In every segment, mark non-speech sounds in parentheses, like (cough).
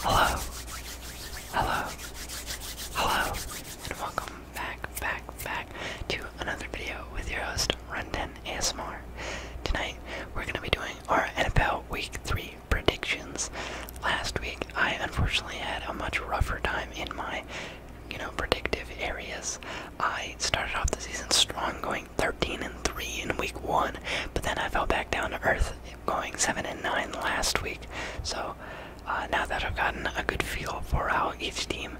Hello, hello, hello, and welcome back, back, back to another video with your host, Runten ASMR. Tonight, we're going to be doing our NFL Week 3 predictions. Last week, I unfortunately had a much rougher time in my, you know, predictive areas. I started off the season strong going 13 and 3 in week 1, but then I fell back down to earth going 7 and 9 last week. So uh, now that I've gotten a good feel for how each team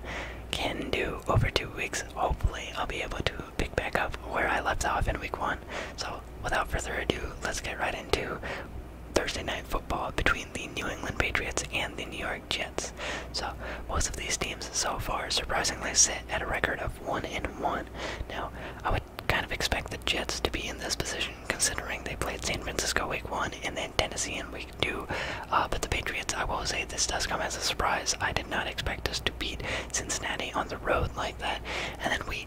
can do over two weeks, hopefully I'll be able to pick back up where I left off in week 1. So without further ado, let's get right into Thursday night football between the New England Patriots and the New York Jets. So both of these teams so far surprisingly sit at a record of one and one. Now, I would kind of expect the Jets to be in this position considering they played San Francisco week one and then Tennessee in week two. Uh, but the Patriots, I will say, this does come as a surprise. I did not expect us to beat Cincinnati on the road like that. And then we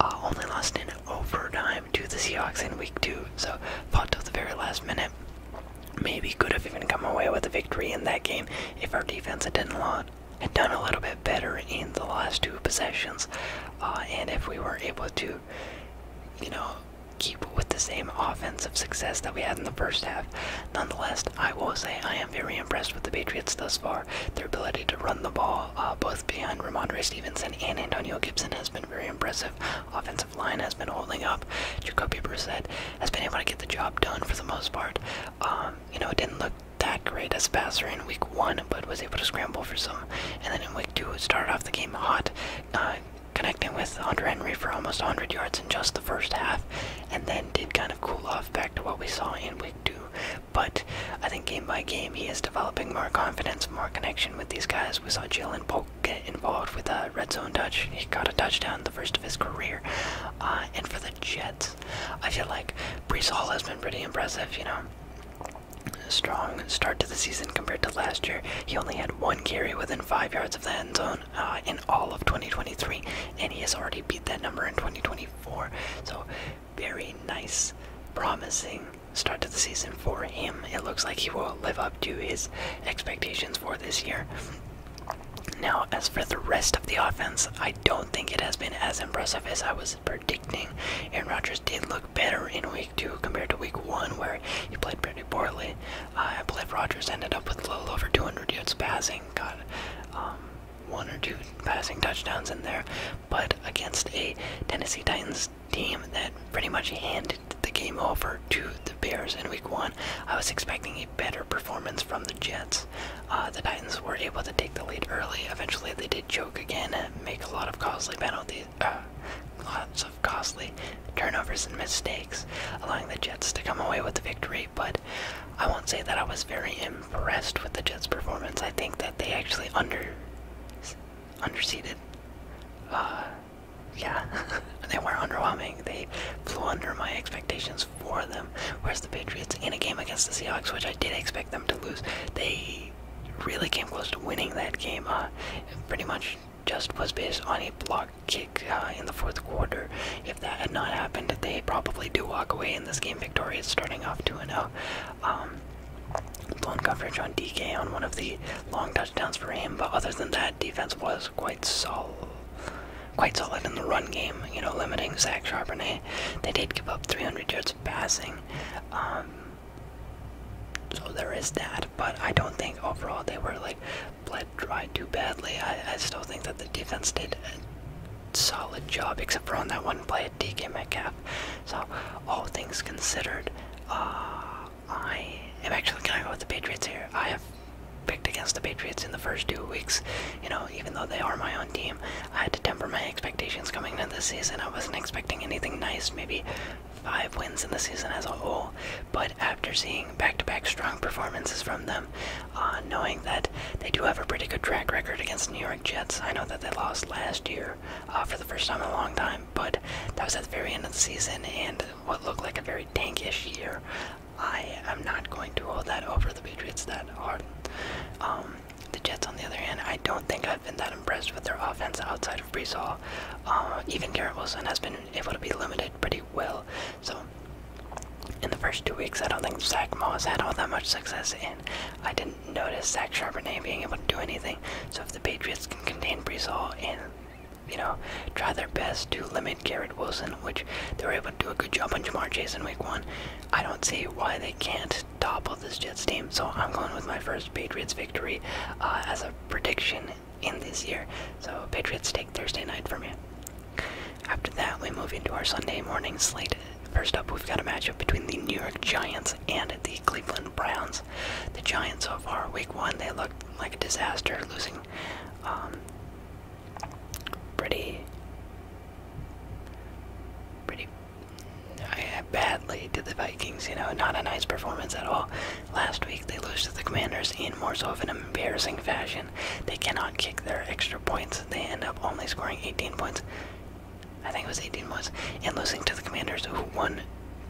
uh, only lost in overtime to the Seahawks in week two. So, fought till the very last minute. Maybe could have even come away with a victory in that game if our defense had didn't had done a little bit better in the last two possessions, uh, and if we were able to, you know, keep with the same offensive success that we had in the first half, nonetheless, I will say I am very impressed with the Patriots thus far. Their ability to run the ball, uh, both behind Ramondre Stevenson and Antonio Gibson, has been very impressive. Offensive line has been holding up. Jacoby Brissett has been able to get the job done for the most part. Um, you know, it didn't look that great as a passer in week one, but was able to scramble for some. And then in week two, it started off the game hot, uh, connecting with Andre Henry for almost 100 yards in just the first half, and then did kind of cool off back to what we saw in week two. But I think game by game, he is developing more confidence, more connection with these guys. We saw Jill and Polk get involved with a red zone touch. He got a touchdown, the first of his career. Uh, and for the Jets, I feel like Brees Hall has been pretty impressive, you know. Strong start to the season compared to last year. He only had one carry within five yards of the end zone uh, in all of 2023, and he has already beat that number in 2024. So, very nice, promising start to the season for him. It looks like he will live up to his expectations for this year. Now, as for the rest of the offense, I don't think it has been as impressive as I was predicting. Aaron Rodgers did look better in week two compared to week one, where he played pretty poorly. Uh, I believe Rodgers ended up with a little over 200 yards passing, got um, one or two passing touchdowns in there, but against a Tennessee Titans team that pretty much handed the game over to the Bears in week one, I was expecting a better performance from the Jets. Uh, the Titans were able to take the lead early. Eventually, they did choke again, make a lot of costly penalties, uh, lots of costly turnovers and mistakes, allowing the Jets to come away with the victory. But I won't say that I was very impressed with the Jets' performance. I think that they actually under underseeded. Uh, yeah, (laughs) they were underwhelming. They flew under my expectations for them. Whereas the Patriots, in a game against the Seahawks, which I did expect them to lose, they really came close to winning that game. Uh, pretty much just was based on a block kick uh, in the fourth quarter. If that had not happened, they probably do walk away in this game victorious, starting off 2 0. Um, blown coverage on DK on one of the long touchdowns for him, but other than that, defense was quite solid quite solid in the run game, you know, limiting Zach Charbonnet. They did give up 300 yards of passing. Um, so there is that, but I don't think overall they were like bled dry too badly. I, still think that the defense did a solid job, except for on that one play at DK Metcalf. So all things considered, uh, I am actually gonna go with the Patriots here. I have picked against the Patriots in the first two weeks, you know, even though they are my own team, I had to temper my expectations coming into the season. I wasn't expecting anything nice, maybe five wins in the season as a whole. But after seeing back to back strong performances from them, uh, knowing that they do have a pretty good track record against New York Jets, I know that they lost last year uh, for the first time in a long time, but that was at the very end of the season and what looked like a very tankish year. I am not going to hold that over the Patriots that hard. Um, the Jets, on the other hand, I don't think I've been that impressed with their offense outside of Breesall. Uh, even Garrett Wilson has been able to be limited pretty well. So, in the first two weeks, I don't think Zach Moss had all that much success, and I didn't notice Zach Charbonnet being able to do anything. So, if the Patriots can contain Breesall and you know, try their best to limit Garrett Wilson, which they were able to do a good job on Jamar Chase in week one. I don't see why they can't topple this Jets team. So I'm going with my first Patriots victory uh, as a prediction in this year. So Patriots take Thursday night for me. After that, we move into our Sunday morning slate. First up, we've got a matchup between the New York Giants and the Cleveland Browns. The Giants so far, week one, they looked like a disaster, losing um, pretty pretty badly to the Vikings, you know, not a nice performance at all. Last week they lose to the Commanders in more so of an embarrassing fashion. They cannot kick their extra points. They end up only scoring 18 points. I think it was 18 points. And losing to the Commanders who won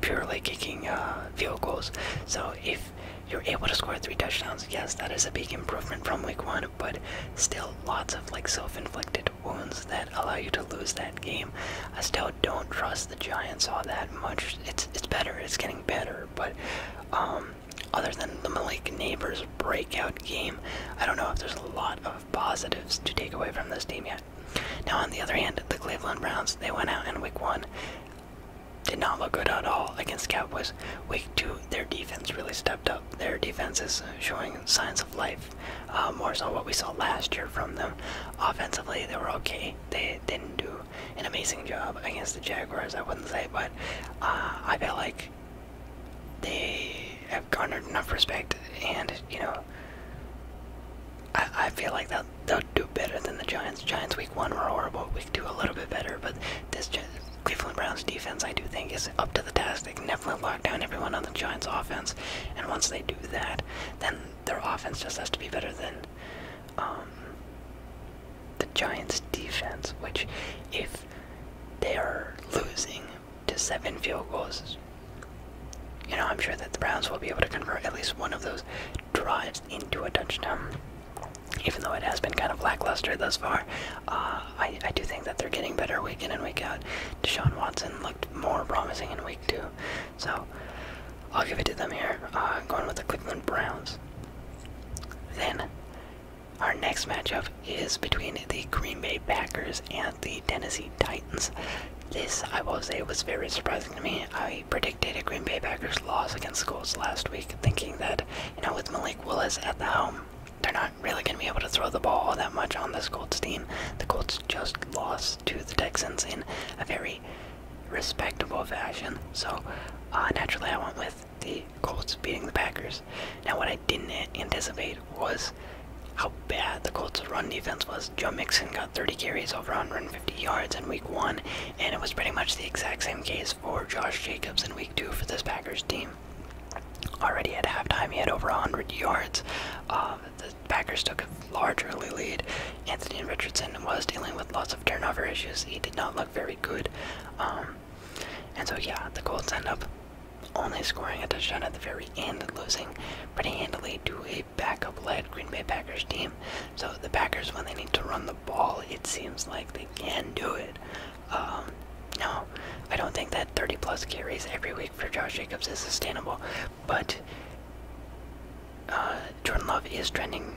purely kicking uh, field goals. So if you're able to score three touchdowns, yes, that is a big improvement from week one, but still lots of like self-inflicted wounds that allow you to lose that game. I still don't trust the Giants all that much. It's it's better. It's getting better, but um, other than the Malik Neighbors breakout game, I don't know if there's a lot of positives to take away from this team yet. Now, on the other hand, the Cleveland Browns they went out in Week One. Did not look good at all against Cowboys. Week two, their defense really stepped up up their defenses, showing signs of life. Uh, more so what we saw last year from them. Offensively, they were okay. They didn't do an amazing job against the Jaguars, I wouldn't say, but uh, I feel like they have garnered enough respect, and you know, I, I feel like they'll, they'll do better than the Giants. Giants week one were horrible. Week two a little bit better, but this gen. Cleveland Browns defense, I do think, is up to the task. They can definitely lock down everyone on the Giants' offense, and once they do that, then their offense just has to be better than um, the Giants' defense. Which, if they are losing to seven field goals, you know I'm sure that the Browns will be able to convert at least one of those drives into a touchdown. Even though it has been kind of lackluster thus far, uh, I, do think that they're getting better week in and week out. Deshaun Watson looked more promising in week two, so I'll give it to them here. Uh, going with the Cleveland Browns. Then our next matchup is between the Green Bay Packers and the Tennessee Titans. This, I will say, was very surprising to me. I predicted a Green Bay Packers loss against Colts last week, thinking that, you know, with Malik Willis at the helm, they're not really going to be able to throw the ball all that much on this Colts team. The Colts just lost to the Texans in a very respectable fashion. So uh, naturally, I went with the Colts beating the Packers. Now, what I didn't anticipate was how bad the Colts' run defense was. Joe Mixon got 30 carries over 150 yards in week one, and it was pretty much the exact same case for Josh Jacobs in week two for this Packers team. Already at halftime, he had over 100 yards. Um, the Packers took a large early lead. Anthony Richardson was dealing with lots of turnover issues. He did not look very good. Um, and so, yeah, the Colts end up only scoring a touchdown at the very end and losing pretty handily to a backup led Green Bay Packers team. So, the Packers, when they need to run the ball, it seems like they can do it. Um, no, I don't think that 30 plus carries every week for Josh Jacobs is sustainable, but uh, Jordan Love is trending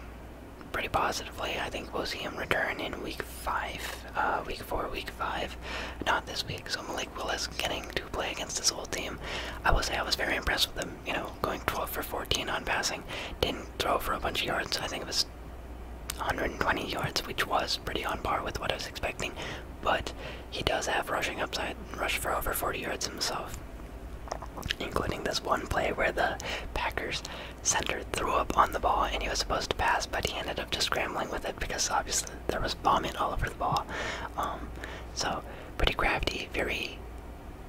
pretty positively. I think we'll see him return in week five, uh, week four, week five, not this week. So Malik Willis getting to play against this whole team. I will say I was very impressed with him. You know, going 12 for 14 on passing, didn't throw for a bunch of yards. I think it was 120 yards, which was pretty on par with what I was expecting, but he does have rushing upside, Rushed for over 40 yards himself, including this one play where the Packers center threw up on the ball and he was supposed to pass, but he ended up just scrambling with it because obviously there was vomit all over the ball. Um, so pretty crafty, very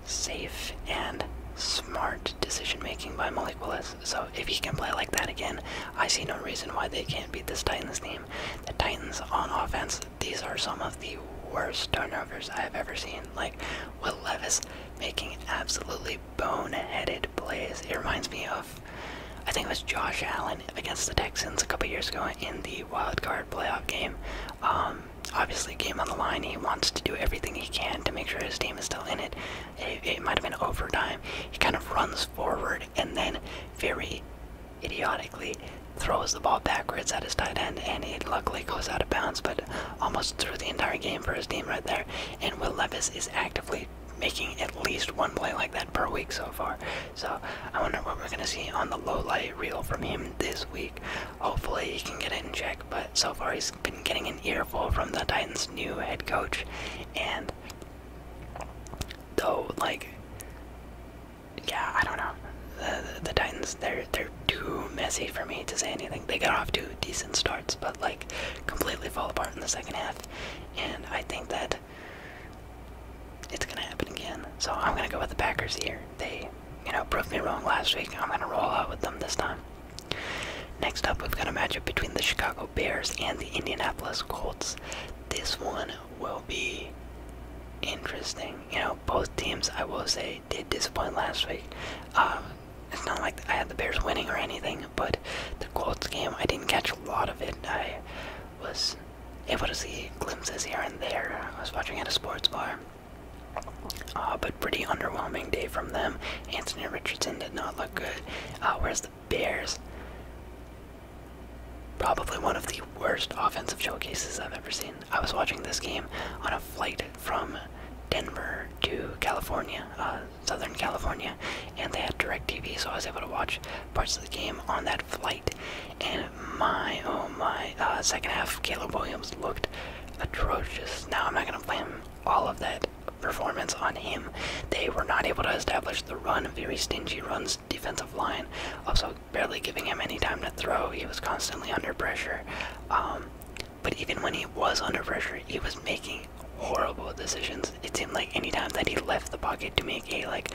safe and smart decision making by Malik Willis. So if he can play like that again, I see no reason why they can't beat this Titans team. The Titans on offense, these are some of the worst turnovers I've ever seen. Like Will Levis making absolutely boneheaded plays. It reminds me of I think it was Josh Allen against the Texans a couple years ago in the wild card playoff game. Um, obviously, game on the line. He wants to do everything he can to make sure his team is still in It, it might have been overtime. He kind of runs forward and then very idiotically throws the ball backwards at his tight end and it luckily goes out of bounds but almost threw the entire game for his team right there and will levis is actively making at least one play like that per week so far so i wonder what we're going to see on the low light reel from him this week hopefully he can get it in check but so far he's been getting an earful from the titans new head coach and Though, like, yeah, I don't know. The, the Titans, they're they're too messy for me to say anything. They got off to decent starts, but like completely fall apart in the second half. And I think that it's gonna happen again. So I'm gonna go with the Packers here. They, you know, proved me wrong last week. I'm gonna roll out with them this time. Next up, we've got a matchup between the Chicago Bears and the Indianapolis Colts. This one will be interesting. You know, both teams, I will say, did disappoint last week. Um, it's not like I had the Bears winning or anything, but the Colts game, I didn't catch a lot of it. I was able to see glimpses here and there. I was watching at a sports bar. Uh, but pretty underwhelming day from them. Anthony Richardson did not look good. Uh, the Bears. Probably one of the worst offensive showcases I've ever seen. I was watching this game on a flight from Denver to California, uh, Southern California, and they had direct TV, so I was able to watch parts of the game on that flight. And my, oh my, uh, second half, Caleb Williams looked atrocious. Now, I'm not going to blame all of that performance on him. They were not able to establish the run, very stingy runs, defensive line, also barely giving him any time to throw. He was constantly under pressure. Um, but even when he was under pressure, he was making horrible decisions. It seemed like any time that he left the pocket to make a like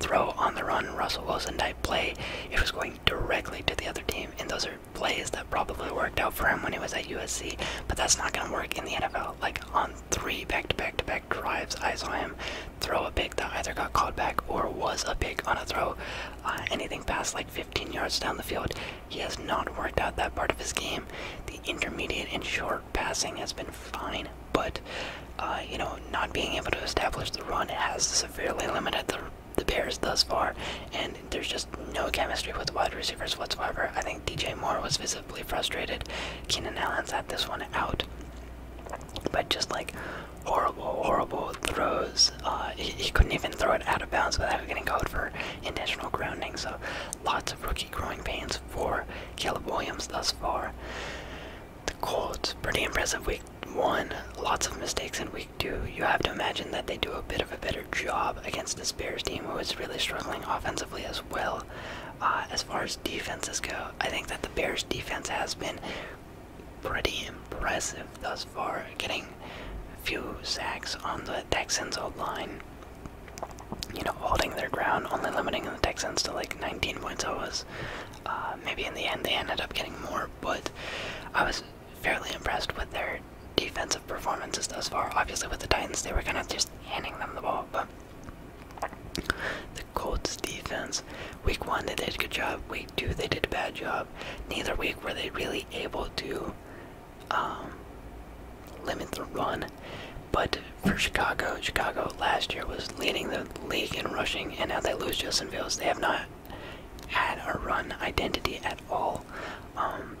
throw on the run, Russell Wilson type play, it was going directly to the other team. And those are plays that probably worked out for him when he was at USC, but that's not going to work in the NFL. Like on three back to back to back drives. I saw him throw a pick that either got called back or was a pick on a throw. Uh, anything past like 15 yards down the field, he has not worked out that part of his game. The intermediate and short passing has been fine, but uh, you know, not being able to establish the run has severely limited the the Bears thus far, and there's just no chemistry with wide receivers whatsoever. I think DJ Moore was visible frustrated. Keenan Allen had this one out, but just like horrible, horrible throws. Uh, he, couldn't even throw it out of bounds without getting called for intentional grounding. So lots of rookie growing pains for Caleb Williams thus far. The Colts, pretty impressive week one. Lots of mistakes in week two. You have to imagine that they do a bit of a better job against this Bears team, who is really struggling offensively as well. Uh, as far as defenses go, I think that the Bears defense has been pretty impressive thus far, getting a few sacks on the Texans' old line. You know, holding their ground, only limiting the Texans to like 19 points. I was uh, maybe in the end they ended up getting more, but I was fairly impressed with their defensive performances thus far. Obviously, with the Titans, they were kind of just handing them the ball, but the Colts defense. Week one they did a good job. Week two they did a bad job. Neither week were they really able to um, limit the run. But for Chicago, Chicago last year was leading the league in rushing, and now they lose Justin Fields. They have not had a run identity at all. Um,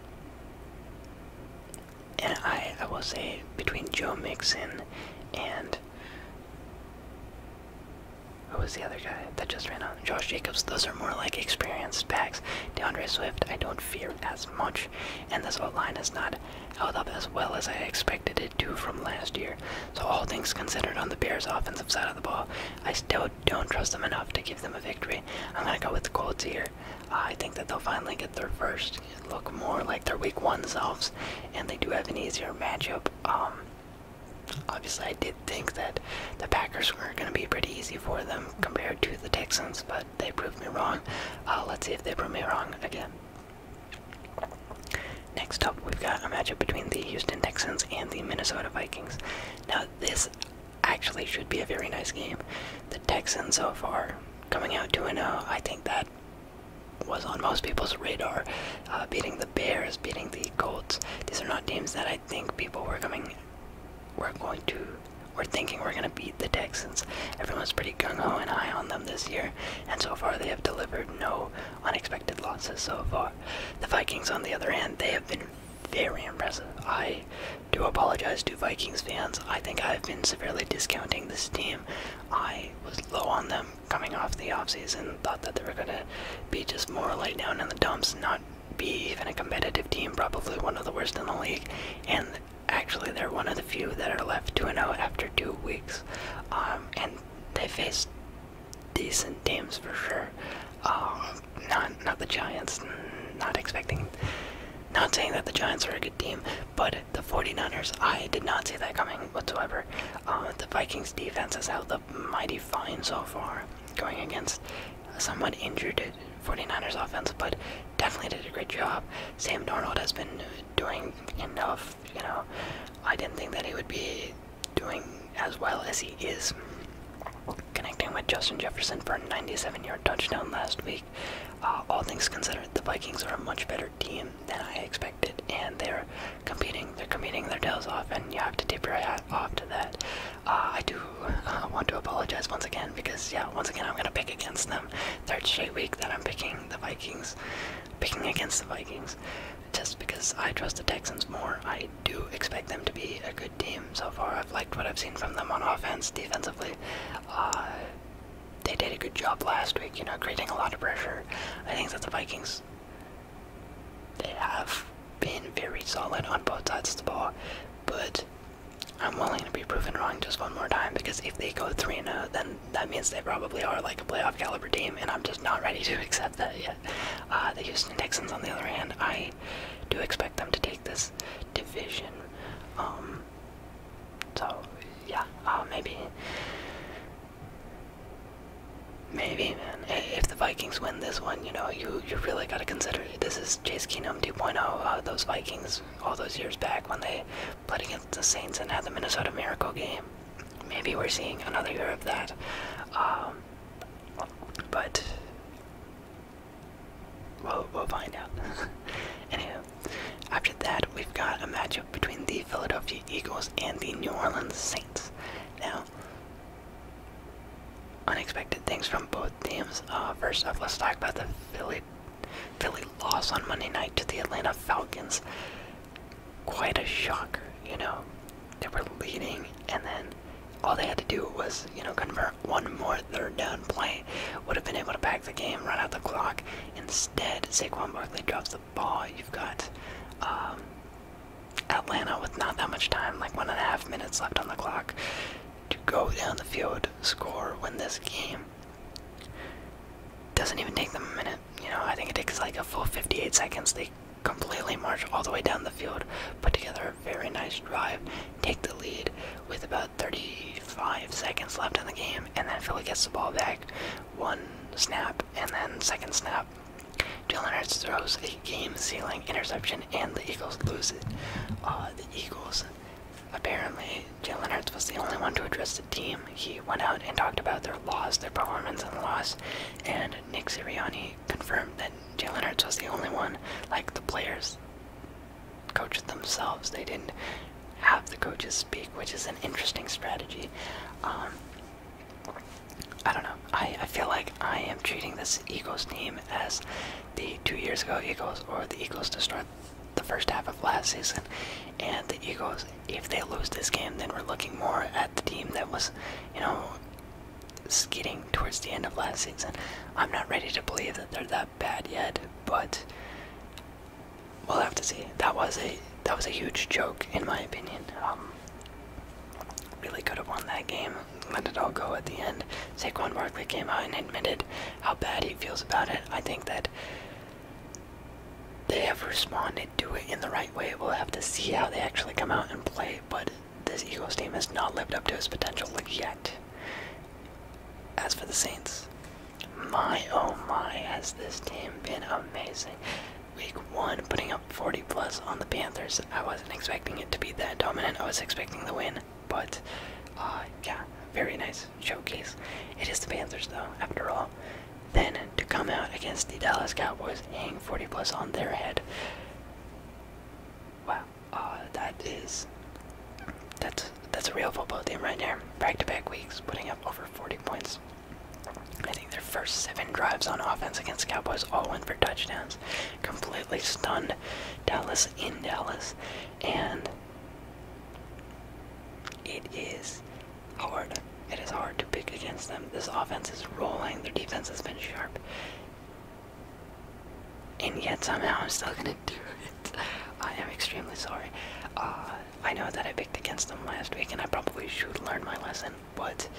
and I, I will say between Joe Mixon and who was the other guy that just ran out? Josh Jacobs. Those are more like experienced backs. DeAndre Swift, I don't fear as much, and this whole line is not held up as well as I expected it to from last year. So all things considered, on the Bears' offensive side of the ball, I still don't trust them enough to give them a victory. I'm gonna go with the Colts here. I think that they'll finally get their first look more like their week one selves, and they do have an easier matchup. Um, obviously, I did think that the Packers were going to be pretty easy for them compared to the Texans, but they proved me wrong. Uh, let's see if they prove me wrong again. Next up, we've got a matchup between the Houston Texans and the Minnesota Vikings. Now, this actually should be a very nice game. The Texans so far coming out 2 0, uh, I think that was on most people's radar. Uh, beating the Bears, beating the Colts. These are not teams that I think people were coming, were going to, were thinking we're going to beat the Texans. Everyone's pretty gung ho and high on them this year, and so far they have delivered no unexpected losses so far. The Vikings, on the other hand, they have been very impressive. I do apologize to Vikings fans I think I've been severely discounting this team. I was low on them coming off the off season. thought that they were going to be just more laid down in the dumps, not be even a competitive team, probably one of the worst in the league. And actually, they're one of the few that are left 2 0 after two weeks. Um, and they faced decent teams for sure. Um, not, not the Giants, not expecting. Not saying that the Giants are a good team, but the 49ers, I did not see that coming whatsoever. Uh, the Vikings defense has held up mighty fine so far, going against somewhat injured 49ers offense, but definitely did a great job. Sam Darnold has been doing enough, you know. I didn't think that he would be doing as well as he is. Connecting with Justin Jefferson for a 97 yard touchdown last week. Uh, all things considered, the Vikings are a much better team than I expected, and they're competing. They're competing their tails off, and you have to tip your hat off to that. Uh, I do uh, want to apologize once again because, yeah, once again I'm gonna pick against them. Third straight week that I'm picking the Vikings, picking against the Vikings, just because I trust the Texans more. I do expect them to be a good team so far. I've liked what I've seen from them on offense, defensively they did a good job last week, you know, creating a lot of pressure. I think that the Vikings they have been very solid on both sides of the ball, but I'm willing to be proven wrong just one more time because if they go 3 0, then that means they probably are like a playoff caliber team, and I'm just not ready to (laughs) accept that yet. Uh, the Houston Texans, on the other hand, I do expect them to take this division. Um, so yeah, uh, maybe, maybe man. If the Vikings win this one, you know, you you really gotta consider this is Chase Keenum 2.0. Uh, those Vikings all those years back when they played against the Saints and had the Minnesota Miracle game. Maybe we're seeing another year of that. Um, but we'll, we'll find out. (laughs) Anywho, after that, we've got a matchup between the Philadelphia Eagles and the New Orleans Saints. Now, unexpected things from both teams. Uh, first up, let's talk about the Philly, Philly loss on Monday night to the Atlanta Falcons. Quite a shock, you know. They were leading, and then all they had to do was, you know, convert one more third down play. Would have been able to pack the game, run out the clock, Instead, Saquon Barkley drops the ball. You've got um, Atlanta with not that much time, like one and a half minutes left on the clock, to go down the field, score, win this game. Doesn't even take them a minute. You know, I think it takes like a full 58 seconds. They completely march all the way down the field, put together a very nice drive, take the lead, with about 35 seconds left in the game, and then Philly gets the ball back. One snap, and then second snap. Jalen Hurts throws a game-sealing interception, and the Eagles lose uh, the Eagles, apparently, Jalen Hurts was the only one to address the team. He went out and talked about their loss, their performance, and the loss. And Nick Sirianni confirmed that Jalen Hurts was the only one, like the players, Coaches themselves. They didn't have the coaches speak, which is an interesting strategy. Um, I don't know. I, I feel like I am treating this Eagles team as the two years ago Eagles or the Eagles to start the first half of last season. And the Eagles, if they lose this game, then we're looking more at the team that was, you know, skidding towards the end of last season. I'm not ready to believe that they're that bad yet, but we'll have to see. That was a that was a huge joke in my opinion. Um, really could have won that game. Let it all go at the end. Saquon Barkley came out and admitted how bad he feels about it. I think that they have responded to it in the right way. We'll have to see how they actually come out and play, but this Eagles team has not lived up to its potential yet. As for the Saints, my oh my, has this team been amazing. Week one, putting up 40 plus on the Panthers. I wasn't expecting it to be that dominant. I was expecting the win, but uh, yeah, very nice showcase. It is the Panthers, though, after all. Then to come out against the Dallas Cowboys, hang 40 plus on their head. Wow, uh, that is that's that's a real football team right there. Back to back weeks, putting up over 40 points. I think their first seven drives on offense against Cowboys all went for touchdowns. Completely stunned Dallas in Dallas, and it is hard. It is hard to pick against them. This offense is rolling. Their defense has been sharp, and yet somehow I'm still gonna do it. I am extremely sorry. Uh, I know that I picked against them last week, and I probably should learn my lesson, but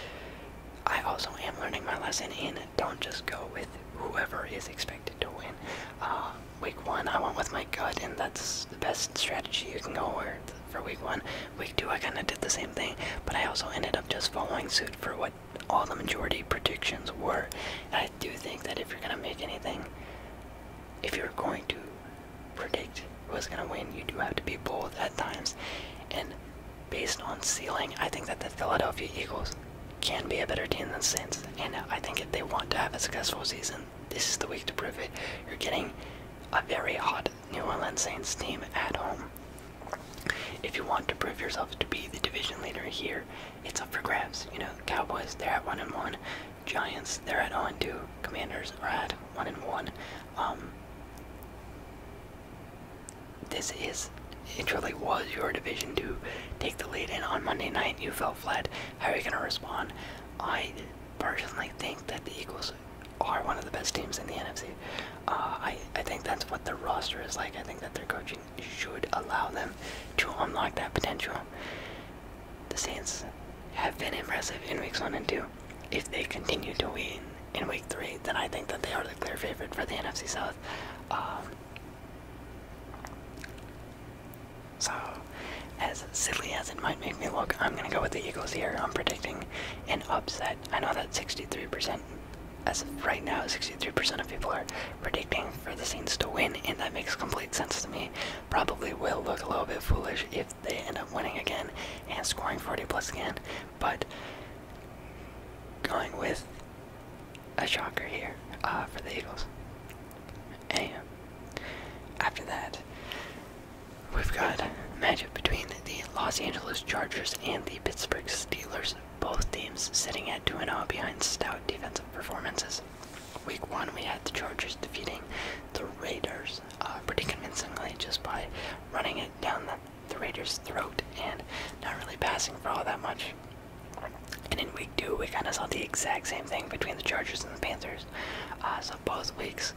I also am learning my lesson in don't just go with whoever is expected to win. Uh, week one, I went with my gut, and that's the best strategy you can go with for week one. Week two, I kind of did the same thing, but I also ended up just following suit for what all the majority predictions were. I do think that if you're going to make anything if you're going to predict who's going to win, you do have to be bold at times. And based on ceiling, I think that the Philadelphia Eagles can be a better team than Saints. And I think if they want to have a successful season, this is the week to prove it. You're getting a very hot New Orleans Saints team at home. If you want to prove yourself to be the division leader here, it's up for grabs. You know, Cowboys, they're at one and one. Giants, they're at 0 and 2. Commanders are at 1 and 1. Um, this is, it truly was your division to take the lead, and on Monday night you fell flat. How are you going to respond? I personally think that the Eagles are one of the best teams in the NFC. Uh, I, I think that's what their roster is like. I think that their coaching should allow them to unlock that potential. The Saints have been impressive in weeks one and two. If they continue to win in week three, then I think that they are the clear favorite for the NFC South. Um, so, as silly as it might make me look, I'm going to go with the Eagles here. I'm predicting an upset. I know that 63%, as of right now, 63% of people are predicting for the Saints to win, and that makes complete sense to me probably will look a little bit foolish if they end up winning again and scoring 40 plus again, but going with a shocker here uh, for the Eagles. And after that, we've got a matchup between the Los Angeles Chargers and the Pittsburgh Steelers, both teams sitting at 2 0 behind stout defensive performances. Week one, we had the Chargers defeating the Raiders uh, pretty convincingly just by running it down the, Raiders' throat and not really passing for all that much. And in week two, we kind of saw the exact same thing between the Chargers and the Panthers. Uh, so both weeks,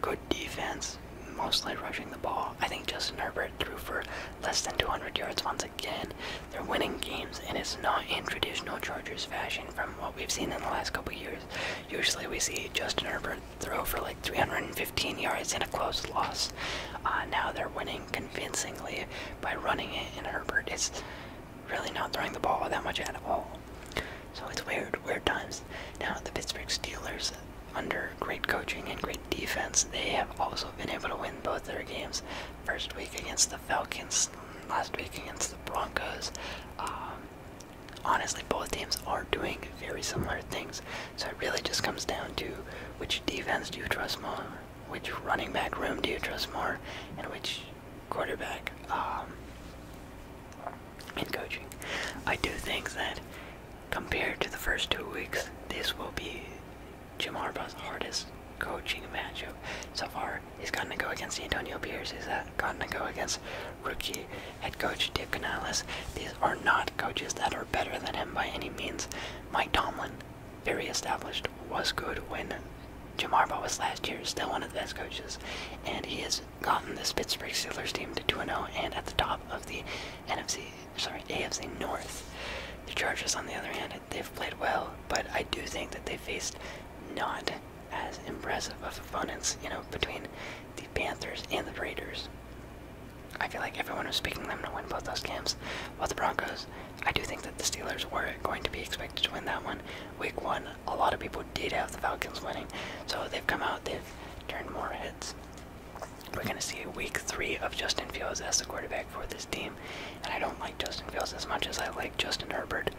good defense, mostly rushing the ball. I think Justin Herbert threw for less than 200 yards once again. They're winning games, and it's not in traditional Chargers fashion from what we've seen in the last couple years. Usually we see Justin Herbert throw for like 315 yards in a close loss. Uh, now they're winning convincingly by running it, and Herbert is really not throwing the ball that much at all. So it's weird, weird times. Now the Pittsburgh Steelers, under great coaching and great defense, they have also been able to win both their games first week against the Falcons, last week against the Broncos. Um, honestly, both teams are doing very similar things. So it really just comes down to which defense do you trust more, which running back room do you trust more, and which quarterback in um, coaching. I do think that compared to the first two weeks, this will be Jim Harbaugh's hardest coaching matchup so far. He's gotten to go against Antonio Pierce. He's uh, gotten to go against rookie head coach Dick Canales. These are not coaches that are better than him by any means. Mike Tomlin, very established, was good when Jim Harbaugh was last year, still one of the best coaches, and he has gotten the Pittsburgh Steelers team to 2-0 and at the top of the NFC, sorry, AFC North. The Chargers, on the other hand, they've played well, but I do think that they faced not as impressive of opponents, you know, between the Panthers and the Raiders. I feel like everyone was picking them to win both those games. Well, the Broncos, I do think that the Steelers were going to be expected to win that one. Week one, a lot of people did have the Falcons winning, so they've come out, they've turned more heads. We're going to see week three of Justin Fields as the quarterback for this team, and I don't like Justin Fields as much as I like Justin Herbert.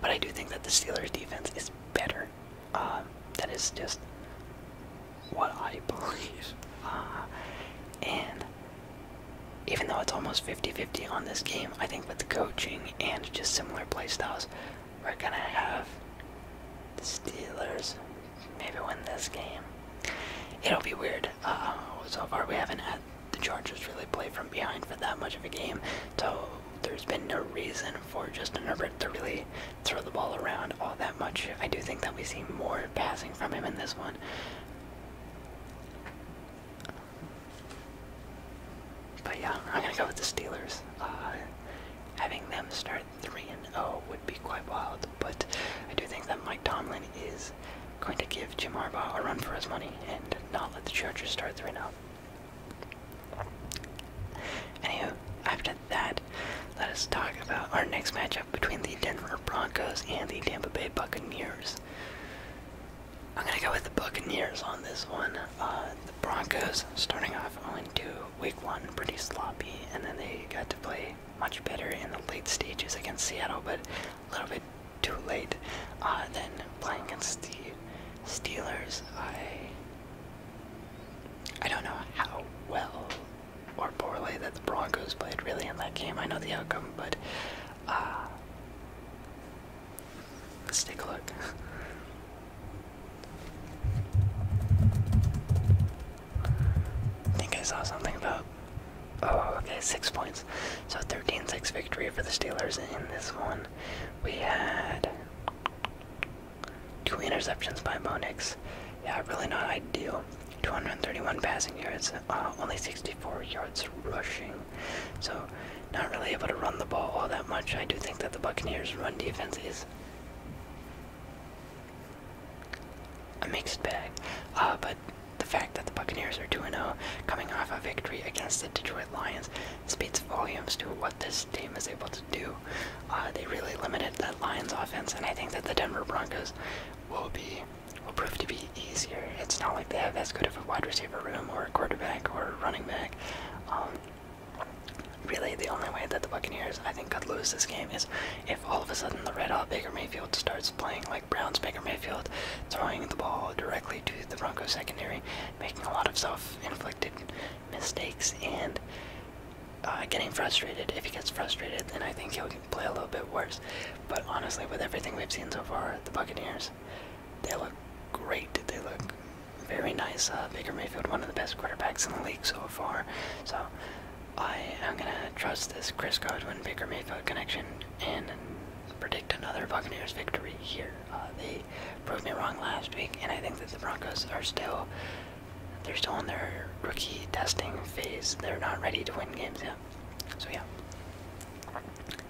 But I do think that the Steelers' defense is better. Um, that is just what I (laughs) believe. Uh, and even though it's almost 50 50 on this game, I think with the coaching and just similar playstyles, we're going to have the Steelers maybe win this game. It'll be weird. Uh, so far, we haven't had the Chargers really play from behind for that much of a game. So there's been no reason for Justin Herbert to really throw the ball around all that much. I do think that we see more passing from him in this one. But yeah, I'm gonna go with the Steelers. Uh, having them start 3 and 0 would be quite wild, but I do think that Mike Tomlin is going to give Jim Harbaugh a run for his money and not let the Chargers start 3 and 0. Anywho, after that, let us talk about our next matchup between the Denver Broncos and the Tampa Bay Buccaneers. I'm gonna go with the Buccaneers on this one. Uh, the Broncos starting off only 2 week one, pretty sloppy, and then they got to play much better in the late stages against Seattle, but a little bit too late. Uh, then playing against the Steelers, I I don't know how well or poorly that the Broncos played really in that game. I know the outcome, but uh, let's take a look. I think I saw something about. Oh, okay, six points. So 13 6 victory for the Steelers in this one. We had two interceptions by Monix. Nix. Yeah, really not ideal. 231 passing yards, uh, only 64 yards rushing. So, not really able to run the ball all that much. I do think that the Buccaneers' run defense is a mixed bag. Uh, but the fact that the Buccaneers are 2 0, coming off a victory against the Detroit with Lions speaks volumes to what this team is able to do. Uh, they really limited that Lions offense, and I think that the Denver Broncos will be will prove to be easier. It's not like they have as good of a wide receiver room or a quarterback or running back. Um, really, the only way that the Buccaneers, I think, could lose this game is if all of a sudden the red hot Baker Mayfield starts playing like Browns Baker Mayfield, throwing the ball directly to the Broncos secondary, making a lot of self-inflicted mistakes and uh, getting frustrated. If he gets frustrated, then I think he'll play a little bit worse. But honestly, with everything we've seen so far, the Buccaneers, they look great. They look very nice. Uh, Baker Mayfield, one of the best quarterbacks in the league so far. So I am going to trust this Chris Godwin Baker Mayfield connection and predict another Buccaneers victory here. Uh, they proved me wrong last week, and I think that the Broncos are still they're still in their rookie testing phase. They're not ready to win games yet. So yeah.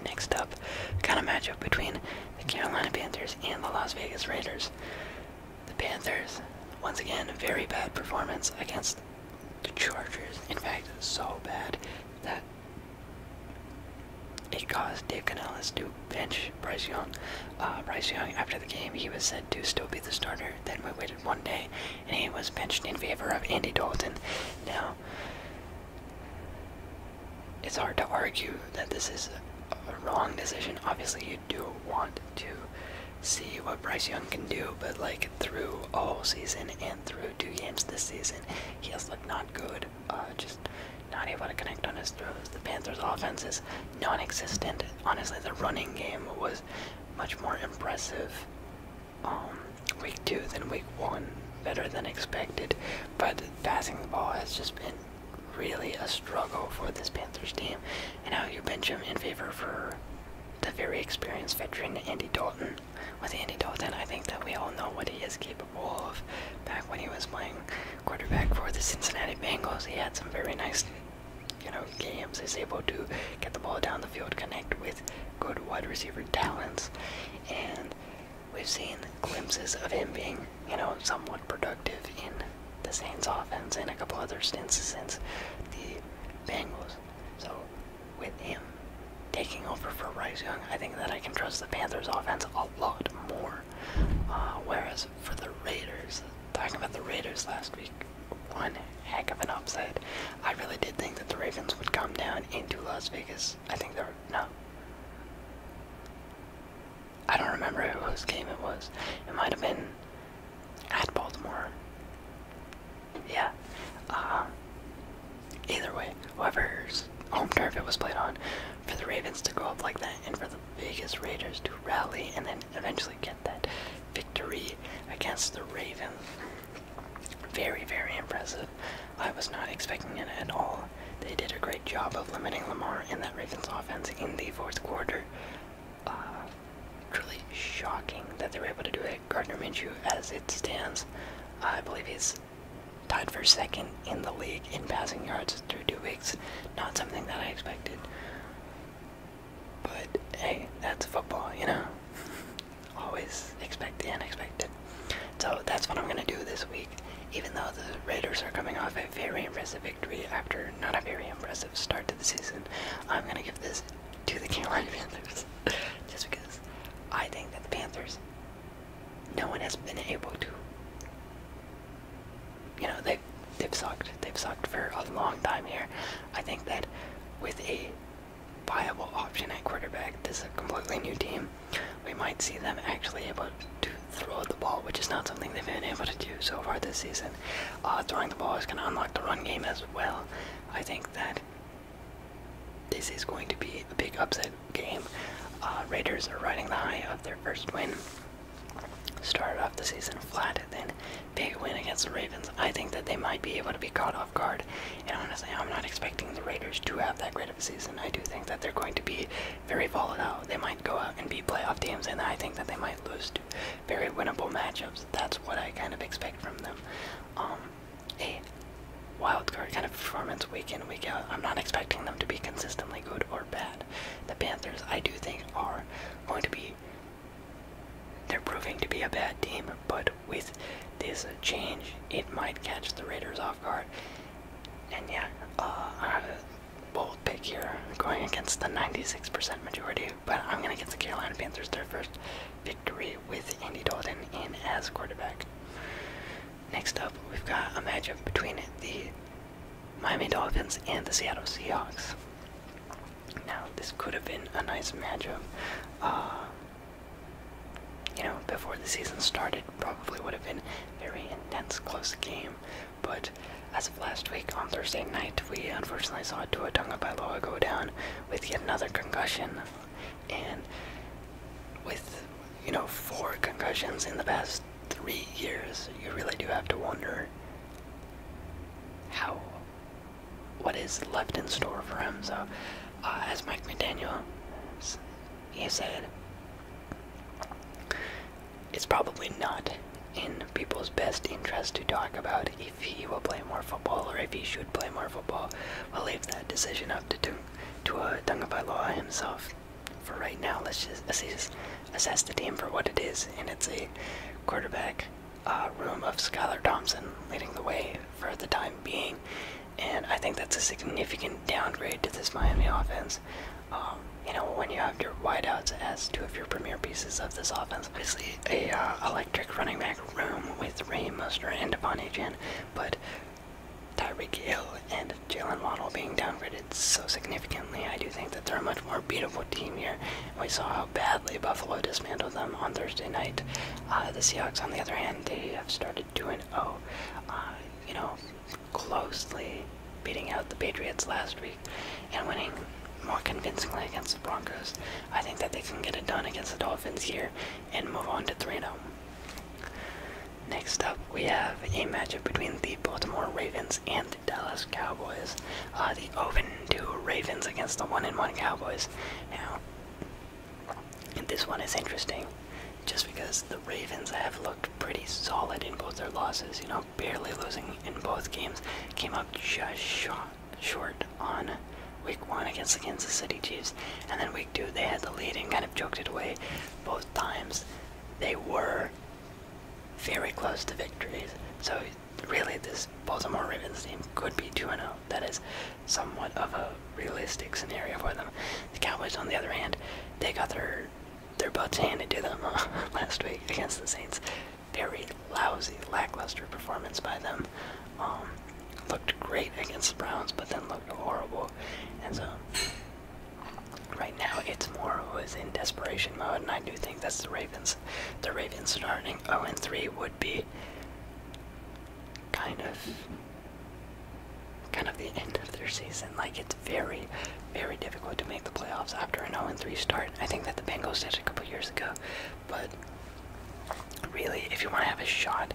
Next up, kind of matchup between the Carolina Panthers and the Las Vegas Raiders. The Panthers, once again, very bad performance against the Chargers. In fact, so bad that it caused Dave Canales to bench Bryce Young. Uh, Bryce Young, after the game, he was said to still be the starter. Then we waited one day, and he was benched in favor of Andy Dalton. Now, it's hard to argue that this is a wrong decision. Obviously, you do want to see what Bryce Young can do, but like through all season and through two games this season, he has looked not good. Uh, just not able to connect on his throws. Uh, the Panthers' offense is non-existent. Honestly, the running game was much more impressive um, week two than week one. Better than expected, but passing the ball has just been really a struggle for this Panthers team. And now you bench him in favor for the very experienced veteran Andy Dalton. With Andy Dalton, I think that we all know what he is capable Wolf. Back when he was playing quarterback for the Cincinnati Bengals, he had some very nice, you know, games. He's able to get the ball down the field, connect with good wide receiver talents, and we've seen glimpses of him being, you know, somewhat productive in the Saints offense and a couple other stints since the Bengals. So with him taking over for Rice Young, I think that I can trust the Panthers' offense a lot more. Uh, whereas for the Raiders, talking about the Raiders last week, one heck of an upset. I really did think that the Ravens would come down into Las Vegas. I think they are No. I don't remember whose game it was. It might have been at Baltimore. Yeah. Uh, Either way, whoever's home turf it was played on, for the Ravens to go up like that and for the Vegas Raiders to rally and then eventually get that victory against the Ravens. Very, very impressive. I was not expecting it at all. They did a great job of limiting Lamar and that Ravens offense in the fourth quarter. Uh, truly shocking that they were able to do it. Gardner Minshew, as it stands, I believe he's Tied for second in the league in passing yards through two weeks. Not something that I expected. But hey, that's football, you know? Always expect the unexpected. So that's what I'm going to do this week. Even though the Raiders are coming off a very impressive victory after not a very impressive start to the season, I'm going to give this to the (laughs) Carolina Panthers. Just because I think that the Panthers no one has been able to. You know, they've, they've sucked. They've sucked for a long time here. I think that with a viable option at quarterback, this is a completely new team. We might see them actually able to throw the ball, which is not something they've been able to do so far this season. Uh, throwing the ball is going to unlock the run game as well. I think that this is going to be a big upset game. Uh, Raiders are riding the high of their first win. Started off the season flat, and then big win against the Ravens. I think that they might be able to be caught off guard. And honestly, I'm not expecting the Raiders to have that great of a season. I do think that they're going to be very volatile. They might go out and be playoff teams, and I think that they might lose to very winnable matchups. That's what I kind of expect from them. Um, a wild card kind of performance week in, week out. I'm not expecting them to be consistently good or bad. The Panthers, I do think, are going to be. They're proving to be a bad team, but with this change, it might catch the Raiders off guard. And yeah, uh, I have a bold pick here, going against the 96% majority, but I'm going to get the Carolina Panthers their first victory with Andy Dalton in as quarterback. Next up, we've got a matchup between the Miami Dolphins and the Seattle Seahawks. Now, this could have been a nice matchup. Uh, you know, before the season started, probably would have been a very intense, close game. But as of last week on Thursday night, we unfortunately saw Tua Tagovailoa go down with yet another concussion and with you know four concussions in the past three years, you really do have to wonder how what is left in store for him. So, uh, as Mike McDaniel, said, it's probably not in people's best interest to talk about if he will play more football or if he should play more football. We'll leave that decision up to to a uh, Tungavailoa himself. For right now, let's just assess, the team for what it is, and it's a quarterback uh, room of Skylar Thompson leading the way for the time being, and I think that's a significant downgrade to this Miami offense. Um, you know, when you have your wideouts as two of your premier pieces of this offense, obviously a uh, electric running back room with Ray Mustard and Devon Agent, but Tyreek Hill and Jalen Waddle being downgraded so significantly, I do think that they're a much more beautiful team here. We saw how badly Buffalo dismantled them on Thursday night. Uh, the Seahawks, on the other hand, they have started 2 0, uh, you know, closely beating out the Patriots last week and winning more convincingly against the Broncos. I think that they can get it done against the Dolphins here and move on to 3 0. Next up, we have a matchup between the Baltimore Ravens and the Dallas Cowboys. Uh, the 0-2 Ravens against the 1-1 Cowboys. Now, this one is interesting, just because the Ravens have looked pretty solid in both their losses. You know, barely losing in both games. Came up just short on Week 1 against the Kansas City Chiefs, and then Week 2 they had the lead and kind of choked it away both times they were very close to victories. So really this Baltimore Ravens team could be 2-0. That is somewhat of a realistic scenario for them. The Cowboys on the other hand, they got their their butts handed to them uh, (laughs) last week against the Saints. Very lousy, lackluster performance by them. Um, looked great against the Browns, but then looked horrible and so, right now it's more who is in desperation mode, and I do think that's the Ravens. The Ravens starting 0 3 would be kind of kind of the end of their season. Like it's very, very difficult to make the playoffs after a 0-3 start. I think that the Bengals did a couple years ago, but really, if you want to have a shot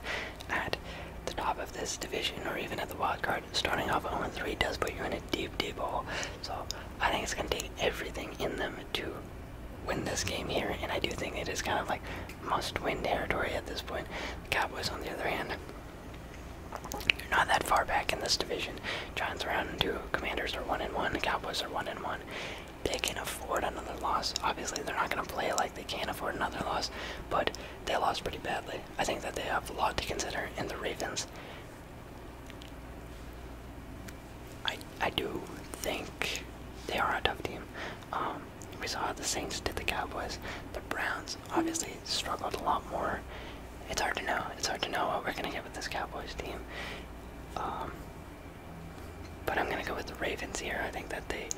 at the top of this division or even at the wild card, starting off 0-3 does put you in a deep, deep hole. So I think it's going to take everything in them to win this game here, and I do think it is kind of like must-win territory at this point. Cowboys, on the other hand, you're not that far back in this division. Giants are out two, Commanders are one and one, the Cowboys are one and one. They can afford another loss. Obviously, they're not going to play like they can't afford another loss, but they lost pretty badly. I think that they have a lot to consider in the Ravens. I I do think they are a tough team. Um, we saw how the Saints did the Cowboys. The Browns obviously struggled a lot more. It's hard to know. It's hard to know what we're gonna get with this Cowboys team. Um, but I'm gonna go with the Ravens here. I think that they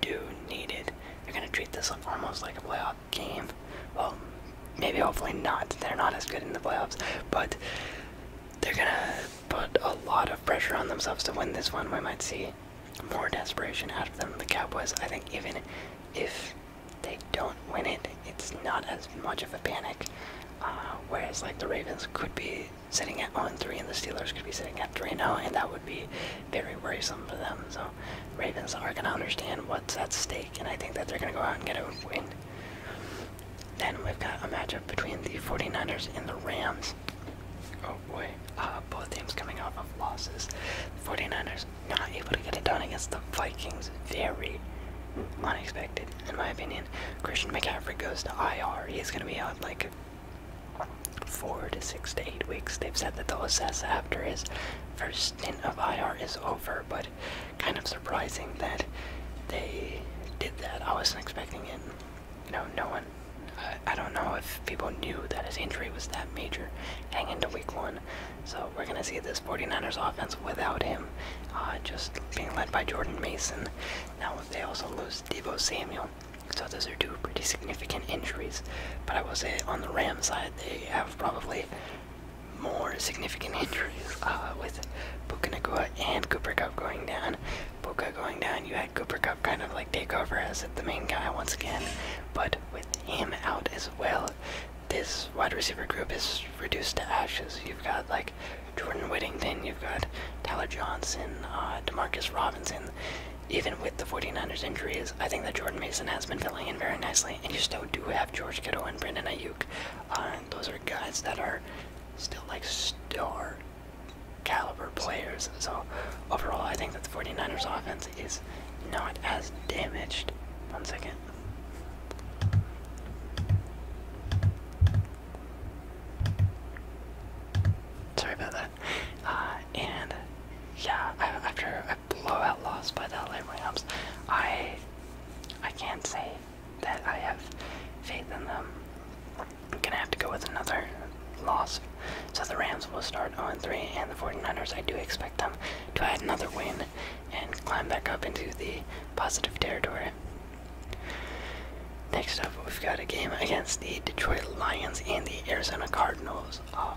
do need it. They're gonna treat this almost like a playoff game. Well, maybe hopefully not. They're not as good in the playoffs, but they're gonna put a lot of pressure on themselves to win this one. We might see more desperation out of them. The Cowboys, I think, even if they don't win it, it's not as much of a panic. Uh, whereas, like, the Ravens could be sitting at 1 3 and the Steelers could be sitting at at 3 and that would be very worrisome for them. So, Ravens are going to understand what's at stake, and I think that they're going to go out and get a win. Then we've got a matchup between the 49ers and the Rams. Oh boy, uh, both teams coming off of losses. 49ers not able to get it done against the Vikings. Very unexpected, in my opinion. Christian McCaffrey goes to IR. He's going to be out like four to six to eight weeks. They've said that they'll assess after his first stint of IR is over, but kind of surprising that they did that. I wasn't expecting it. You know, no one. I, don't know if people knew that his injury was that major hang into week one. So we're going to see this 49ers offense without him, uh, just being led by Jordan Mason. Now they also lose Debo Samuel. So those are two pretty significant injuries but I will say on the Ram side, they have probably more significant (laughs) injuries uh, with Puka Nakua and Cooper Cup going down. Puka going down, you had Cooper Cup kind of like take over as the main guy once again, but with him out as well, this wide receiver group is reduced to ashes. You've got like Jordan Whittington, you've got Tyler Johnson, uh, Demarcus Robinson, even with the 49ers injuries, I think that Jordan Mason has been filling in very nicely, and you still do have George Kittle and Brandon Ayuk. Uh, those are guys that are still like star caliber players. So overall, I think that the 49ers offense is not as damaged. One second. Sorry about that. Uh, and yeah, I, after a blowout loss by the LA Rams, I I can't say that I have faith in them. I'm gonna have to go with another loss. So the Rams will start 0-3, and the 49ers, I do expect them to add another win and climb back up into the positive territory. Next up, we've got a game against the Detroit Lions and the Arizona Cardinals. Oh,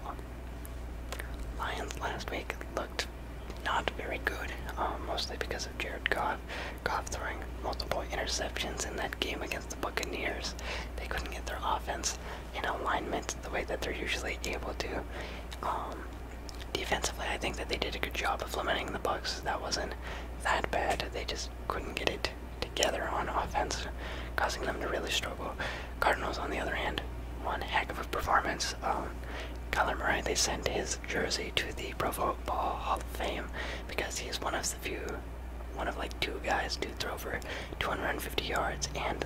Lions last week looked not very good, uh, mostly because of Jared Goff. Goff throwing multiple interceptions in that game against the Buccaneers. They couldn't get their offense in alignment the way that they're usually able to. Um, defensively, I think that they did a good job of limiting the Bucks. That wasn't that bad. They just couldn't get it together on offense, causing them to really struggle. Cardinals, on the other hand, one heck of a performance. Um, Kyler Murray, they sent his jersey to the Pro Football Hall of Fame because he's one of the few, one of like two guys to throw for 250 yards and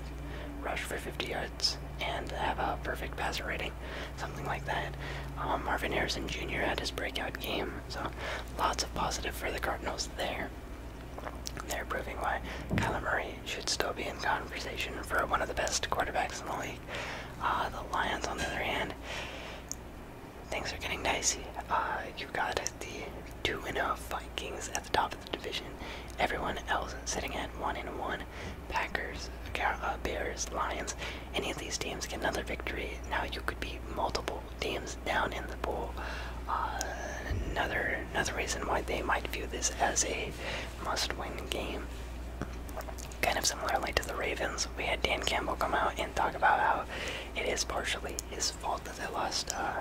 rush for 50 yards and have a perfect passer rating, something like that. Um, Marvin Harrison Jr. had his breakout game, so lots of positive for the Cardinals there. They're proving why Kyler Murray should still be in conversation for one of the best quarterbacks in the league. Uh, the Lions, on the other hand, things are getting dicey. Uh, you've got the 2 0 Vikings at the top of the division. Everyone else sitting at 1 and 1. Packers, uh, Bears, Lions. Any of these teams get another victory. Now you could be multiple teams down in the pool. another Another reason why they might view this as a must win game. Kind of similarly to the Ravens, we had Dan Campbell come out and talk about how it is partially his fault that they lost. Uh,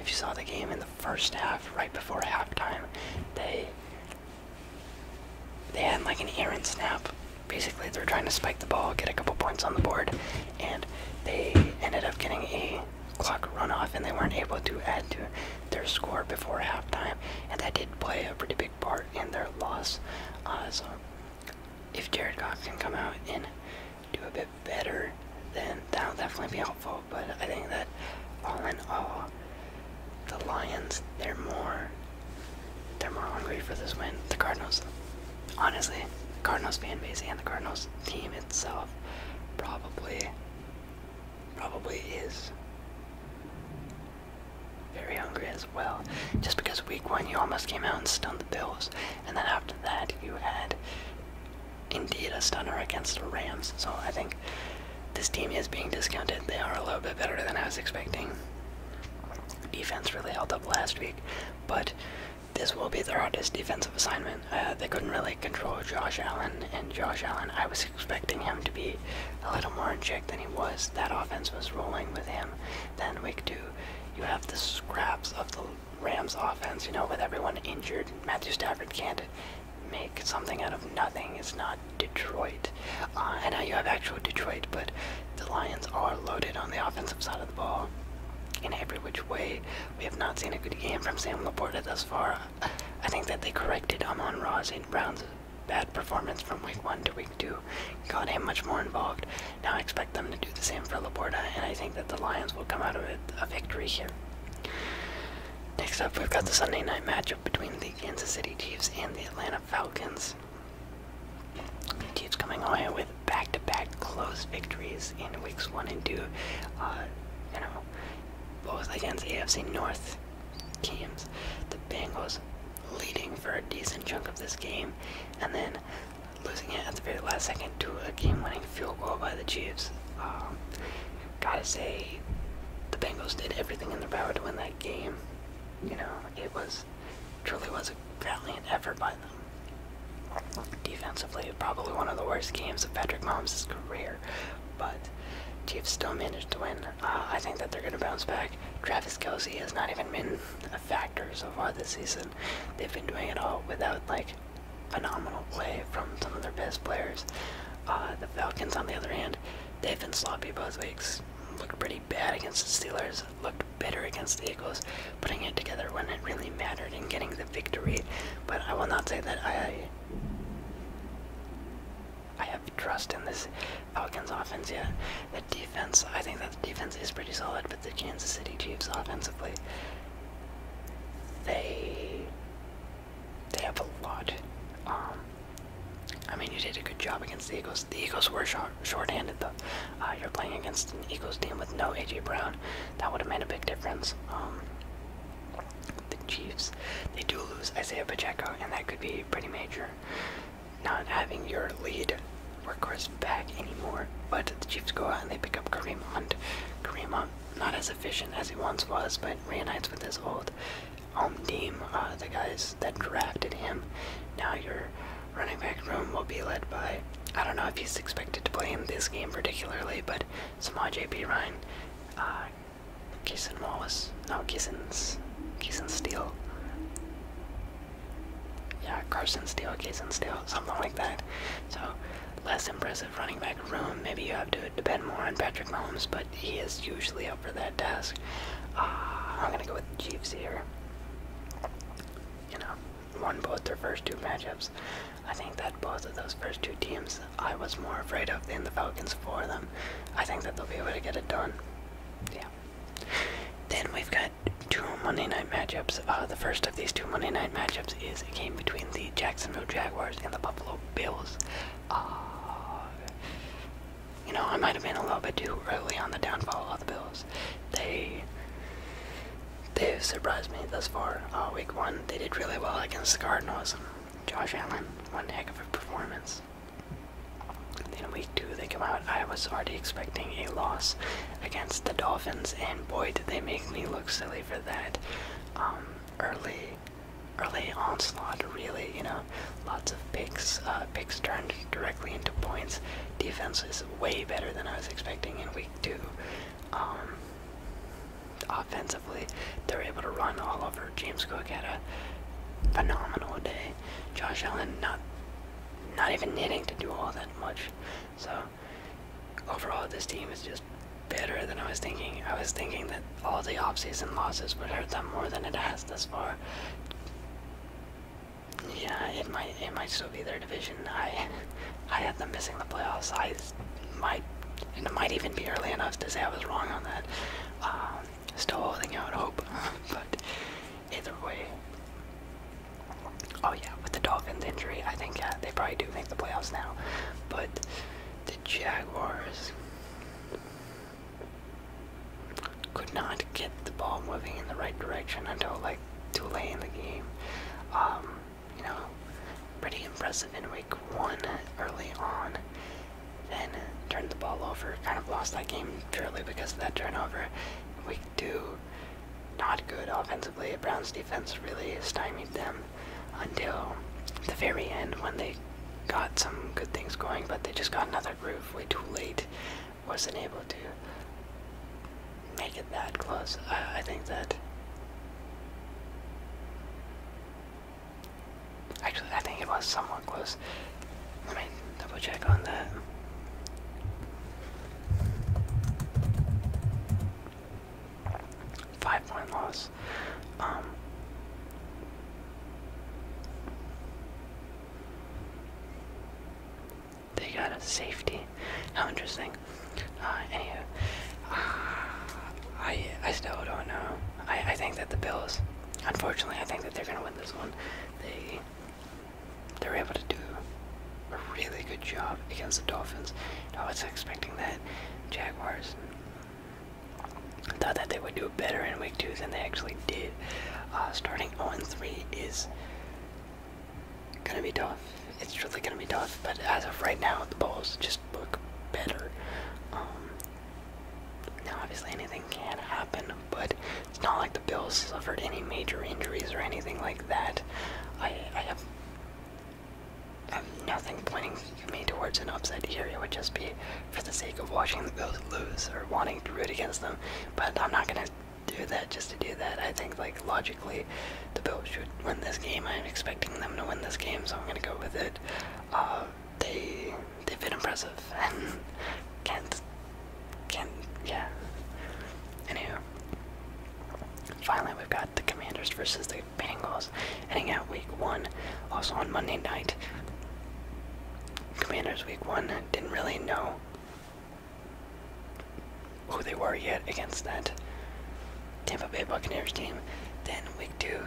if you saw the game in the first half, right before halftime, they they had like an errant snap. Basically, they were trying to spike the ball, get a couple points on the board, and they ended up getting a clock run off and they weren't able to add to their score before halftime, and that did play a pretty big part in their loss. Uh, so, if Jared Goff can come out and do a bit better, then that'll definitely be helpful. But I think that all in all, the Lions they're more they're more hungry for this win. The Cardinals, honestly, Cardinals fan base and the Cardinals team itself probably probably is very hungry as well. Just because week one you almost came out and stunned the Bills, and then after that you had indeed a stunner against the Rams. So I think this team is being discounted. They are a little bit better than I was expecting. Defense really held up last week, but this will be their hardest defensive assignment. Uh, they couldn't really control Josh Allen, and Josh Allen, I was expecting him to be a little more in check than he was. That offense was rolling with him. Then week two, you have the scraps of the Rams offense, you know, with everyone injured. Matthew Stafford can't make something out of nothing. It's not Detroit. Uh, and now you have actual Detroit, but the Lions are loaded on the offensive side of the ball in every which way. We have not seen a good game from Sam Laporta thus far. I think that they corrected Amon Ross and Brown's bad performance from week one to week two. Got him much more involved. Now I expect them to do the same for Laporta, and I think that the Lions will come out of it a victory here. Next up, we've got the Sunday night matchup between the Kansas City Chiefs and the Atlanta Falcons. Chiefs coming away with back-to-back close victories in weeks one and two. Uh, you know, both against AFC North teams. The Bengals leading for a decent chunk of this game, and then losing it at the very last second to a game-winning field goal by the Chiefs. Um, gotta say, the Bengals did everything in their power to win that game. You know, it was truly was a valiant effort by them. Defensively, probably one of the worst games of Patrick Mahomes' career, but Chiefs still managed to win. Uh, I think that they're going to bounce back. Travis Kelsey has not even been a factor so far this season. They've been doing it all without like phenomenal play from some of their best players. Uh, the Falcons, on the other hand, they've been sloppy both weeks. Looked pretty bad against the Steelers. Looked bitter against the Eagles. Putting it together when it really mattered and getting the victory, but I will not say that I I have trust in this Falcons offense yet. The defense, I think that the defense is pretty solid, but the Kansas City Chiefs offensively, they they have a lot. Um, I mean, you did a good job against the Eagles. The Eagles were short, short-handed, though. Uh, you're playing against an Eagles team with no A.J. Brown. That would have made a big difference. Um, the Chiefs. They do lose Isaiah Pacheco, and that could be pretty major. Not having your lead workhorse back anymore, but the Chiefs go out and they pick up Kareem Hunt. Kareem Hunt, not as efficient as he once was, but reunites with his old home team, uh, the guys that drafted him. Now your running back room will be led by. I don't know if he's expected to play in this game particularly, but Samaj P. Ryan, uh, Kison Wallace, no, Keeson's, Keeson Steele. Yeah, Carson Steele, Keeson Steele, something like that. So, less impressive running back room. Maybe you have to depend more on Patrick Mahomes, but he is usually up for that task. Uh, I'm gonna go with the Chiefs here. You know, won both their first two matchups. I think that both of those first two teams I was more afraid of than the Falcons for them. I think that they'll be able to get it done. Yeah. Then we've got two Monday night matchups. Uh, the first of these two Monday night matchups is a game between the Jacksonville Jaguars and the Buffalo Bills. Uh, you know, I might have been a little bit too early on the downfall of the Bills. They they've surprised me thus far. Uh, week one, they did really well against the Cardinals. Josh Allen, one heck of a performance. Then week two, they come out. I was already expecting a loss against the Dolphins, and boy, did they make me look silly for that. Um, early, early onslaught, really. You know, lots of picks. Uh, picks turned directly into points. Defense is way better than I was expecting in week two. Um, offensively. They're able to run all over. James Cook had a phenomenal day. Josh Allen not not even needing to do all that much. So overall this team is just better than I was thinking. I was thinking that all the offseason losses would hurt them more than it has thus far. Yeah, it might it might still be their division. I I had them missing the playoffs. I might, and it might even be early enough to say I was wrong on that. Um, still holding out hope, (laughs) but either way. Oh yeah, with the Dolphins injury, I think yeah, they probably do make the playoffs now. But the Jaguars could not get the ball moving in the right direction until like too late in the game. Um, you know, pretty impressive in week one early on. Then turned the ball over, kind of lost that game purely because of that turnover. Week two, not good offensively. Browns defense really stymied them until the very end when they got some good things going, but they just got another groove way too late. Wasn't able to make it that close. I, I think that Actually, I think it was somewhat close. Let me double check on that. Five point loss. Um, they got a safety. How interesting. Uh, anywho, uh, I I still don't know. I I think that the Bills, unfortunately, I think that they're gonna win this one. They they're able to do a really good job against the Dolphins. I was expecting that Jaguars thought that they would do better in week two than they actually did. Uh, starting 0 3 is gonna be tough it's really going to be tough. But as of right now, the Bulls just look better. Um, now, obviously, anything can happen, but it's not like the Bills suffered any major injuries or anything like that. I, have, I have nothing pointing me towards an upset here. It would just be for the sake of watching the Bills lose or wanting to root against them. But I'm not going to do that just to do that. I think, like, logic the Bills should win this game. I'm expecting them to win this game, so I'm gonna go with it. Uh, they they've been impressive (laughs) and can't can yeah. Anywho, finally we've got the Commanders versus the Bengals, heading out week one. Also on Monday night, Commanders week one didn't really know who they were yet against that Tampa Bay Buccaneers team. Then week two,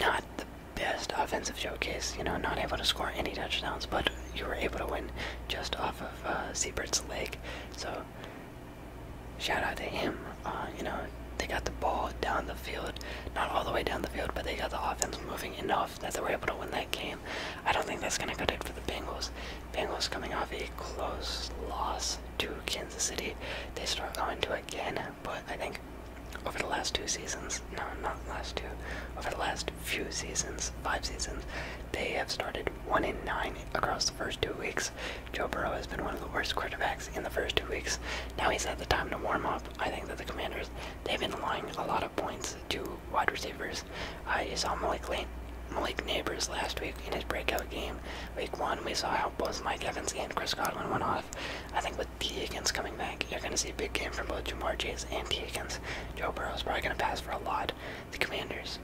not the best offensive showcase. You know, not able to score any touchdowns, but you were able to win just off of uh, leg. So shout out to him. Uh, you know, they got the ball down the field, not all the way down the field, but they got the offense moving enough that they were able to win that game. I don't think that's gonna cut it for the Bengals. Bengals coming off a close loss to Kansas City. They start going to again, but I think over the last two seasons, no, not last two, over the last few seasons, five seasons, they have started 1-9 in across the first two weeks. Joe Burrow has been one of the worst quarterbacks in the first two weeks. Now he's had the time to warm up. I think that the Commanders, they've been lying a lot of points to wide receivers. I saw Malik Lane Malik Neighbors last week in his breakout game Week one, we saw how both Mike Evans and Chris Godwin went off. I think with T. Higgins coming back, you're going to see a big game from both Jamar Chase and T. Higgins. Joe Burrow is probably going to pass for a lot. The Commanders,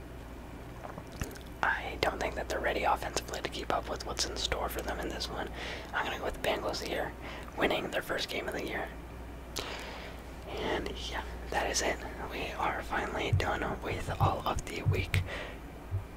I don't think that they're ready offensively to keep up with what's in store for them in this one. I'm going to go with the Bengals here, winning their first game of the year. And yeah, that is it. We are finally done with all of the week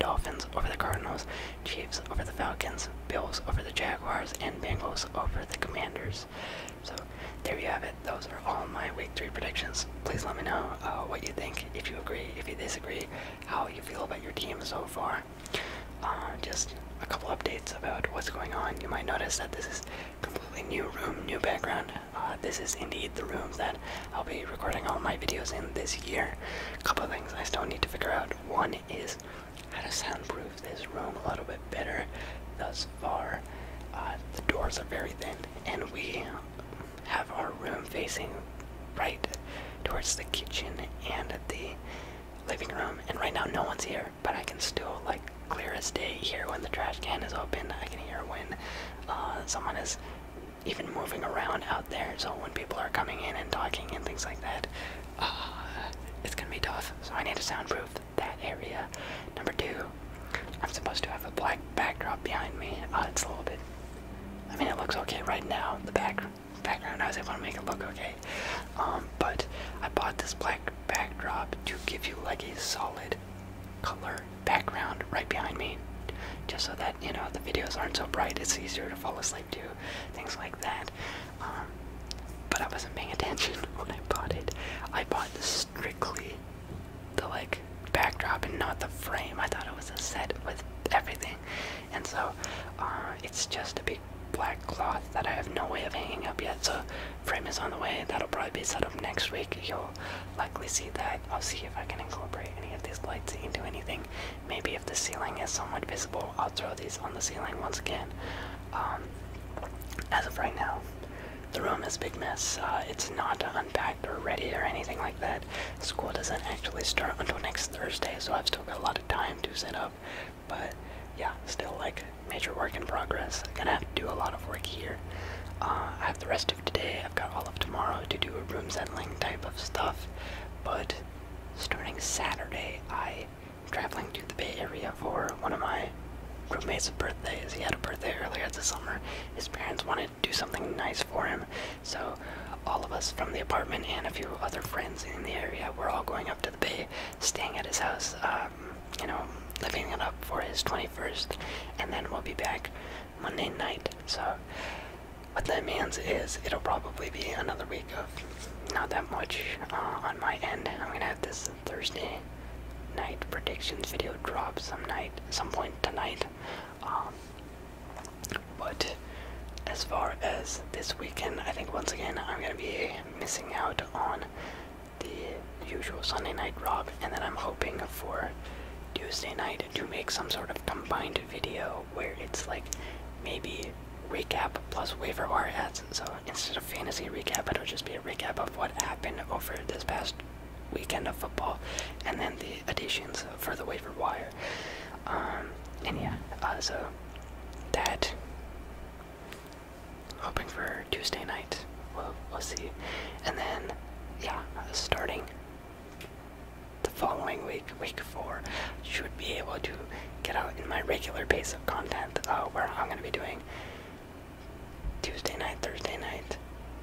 Dolphins over the Cardinals, Chiefs over the Falcons, Bills over the Jaguars, and Bengals over the Commanders. So there you have it. Those are all my Week 3 predictions. Please let me know uh, what you think, if you agree, if you disagree, how you feel about your team so far. Uh, just a couple updates about what's going on. You might notice that this is completely new room, new background. Uh, this is indeed the room that I'll be recording all my videos in this year. A couple things I still need to figure out. One is how to soundproof this room a little bit better thus far. Uh, the doors are very thin, and we have our room facing right towards the kitchen and the living room. And right now, no one's here, but I can still, like, clear as day hear when the trash can is open. I can hear when uh, someone is even moving around out there. So when people are coming in and talking and things like that, uh, it's gonna be tough. So I need to soundproof that area. Number two, I'm supposed to have a black backdrop behind me. Uh, it's a little bit. I mean, it looks okay right now. The back background, I was able to make it look okay. Um, but I bought this black backdrop to give you like a solid color background right behind me just so that you know the videos aren't so bright it's easier to fall asleep to things like that. Um, but I wasn't paying attention (laughs) when I bought it. I bought strictly the like backdrop and not the frame. I thought it was a set with everything, and so uh, it's just a big black cloth that I have no way of hanging up yet. So frame is on the way. That'll probably be set up next week. You'll likely see that. I'll see if I can incorporate any of these lights into anything. Maybe if the ceiling is somewhat visible, I'll throw these on the ceiling once again. Um, as of right now, the room is a big mess. Uh, it's not unpacked or ready or anything like that. School doesn't actually start until next Thursday, so I've still got a lot of time to set up. But yeah, still like major work in progress. gonna have to do a lot of work here. Uh, I have the rest of today. I've got all of tomorrow to do a room settling type of stuff. But starting Saturday, I am traveling to the Bay Area for one of my roommate's birthdays. He had a birthday earlier this summer. His parents wanted to do something nice for him, so all of us from the apartment and a few other friends in the area we're all going up to the Bay, staying at his house, um, you know, living it up for his 21st, and then we'll be back Monday night. So what that means is it'll probably be another week of not that much uh, on my end. I'm gonna have this Thursday night predictions video drop some night, some point tonight. Um, but as far as this weekend, I think once again I'm gonna be missing out on the usual Sunday night drop, and then I'm hoping for Tuesday night to make some sort of combined video where it's like maybe recap plus waiver wire ads. So instead of fantasy recap, it'll just be a recap of what happened over this past weekend of football, and then the additions for the waiver wire. Um, and yeah, uh, so that hoping for Tuesday night. We'll we'll see, and then yeah, starting the following week, week four, should be able to get out in my regular pace of content uh, where I'm going to be doing Tuesday night, Thursday night,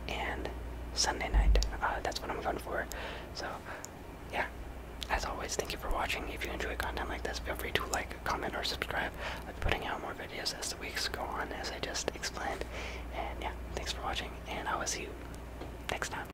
and Sunday night. Uh, that's what I'm going for. So, yeah. As always, thank you for watching. If you enjoy content like this, feel free to like, comment, or subscribe. i am putting out more videos as the weeks go on, as I just explained. And yeah, thanks for watching, and I will see you next time.